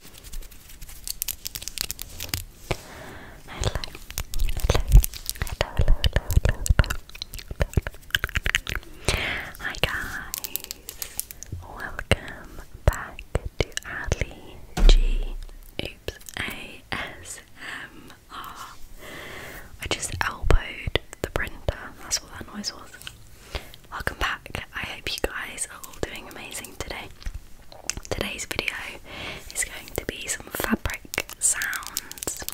hello, hello, hello, hello. Hi guys, welcome back to Adley G. Oops, ASMR. just elbowed the printer. That's what that noise was. Welcome back. I hope you guys are all doing amazing today. Today's video is going to be some fabric sounds.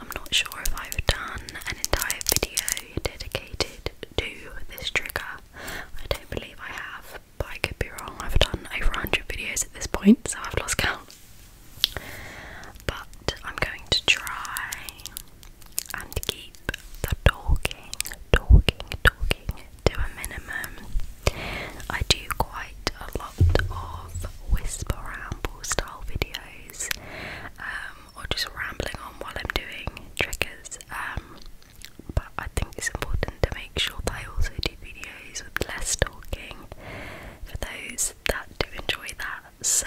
I'm not sure if I've done an entire video dedicated to this trigger. I don't believe I have, but I could be wrong. I've done over 100 videos at this point, so I've lost count. But I'm going to try and keep the talking talking, talking to a minimum. I do quite a lot of whisper ramble style videos, um, or just rambling on while I'm doing triggers. Um, but I think it's important to make sure that I also do videos with less talking for those that do enjoy that. So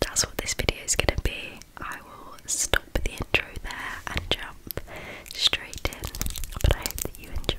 that's what this video is going to be. I will stop the intro there and jump straight in. But I hope that you enjoy.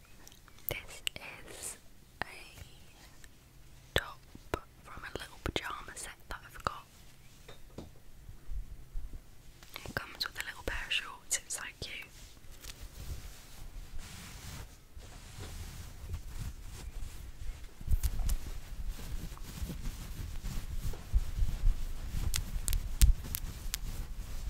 This is a top from a little pyjama set that I've got. It comes with a little pair of shorts, it's so cute.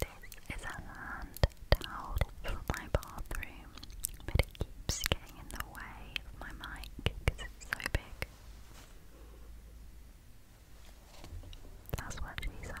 This is a hand towel for my bathroom, but it keeps getting in the way of my mic because it's so big. That's what she said.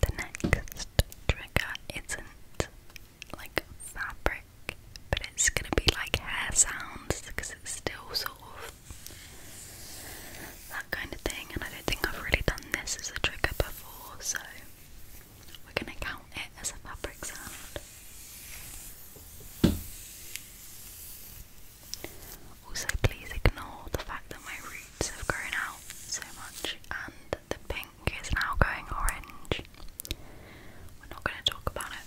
The next trigger isn't like fabric, but it's gonna be like hair sounds because it's still sort of that kind of thing. And I don't think I've really done this as a trigger before, so we're gonna count it as a fabric sound. Also, please ignore the fact that my roots have grown out so much and the pink is now going orange. We're not going to talk about it.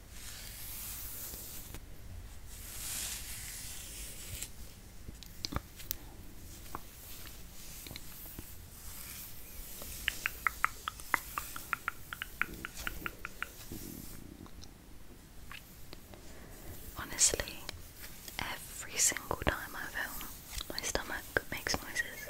Honestly, every single time I film, my stomach makes noises.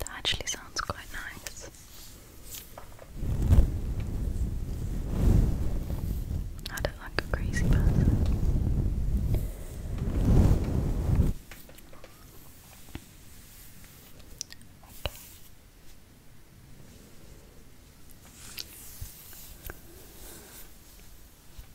That actually sounds quite nice. I don't like a crazy person.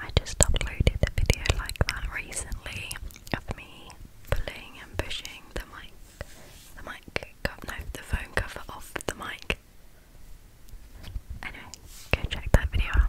I just uploaded a video like that recently of me pulling and pushing the mic, the mic, no, the phone cover off the mic. Anyway, go check that video out.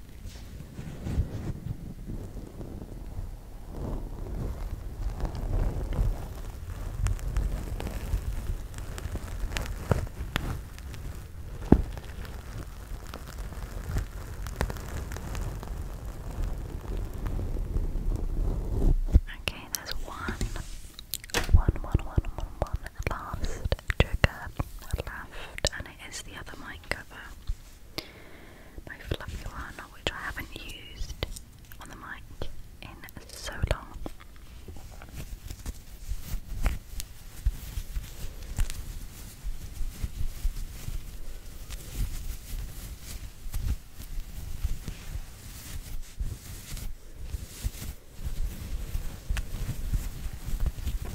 Okay, there's one. One, one, one, one, one. Last trigger left, and it is the other mic cover my fluffy one, which I haven't used on the mic in so long.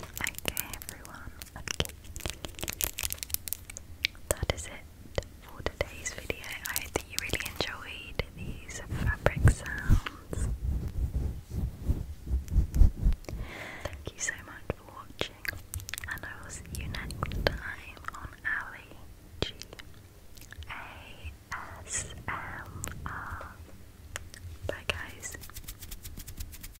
Okay, everyone. Okay. That is it for today's video. I hope that you really enjoyed these fabric sounds. Thank you so much for watching, and I will see you next time on Ali G A S M R. Bye, guys.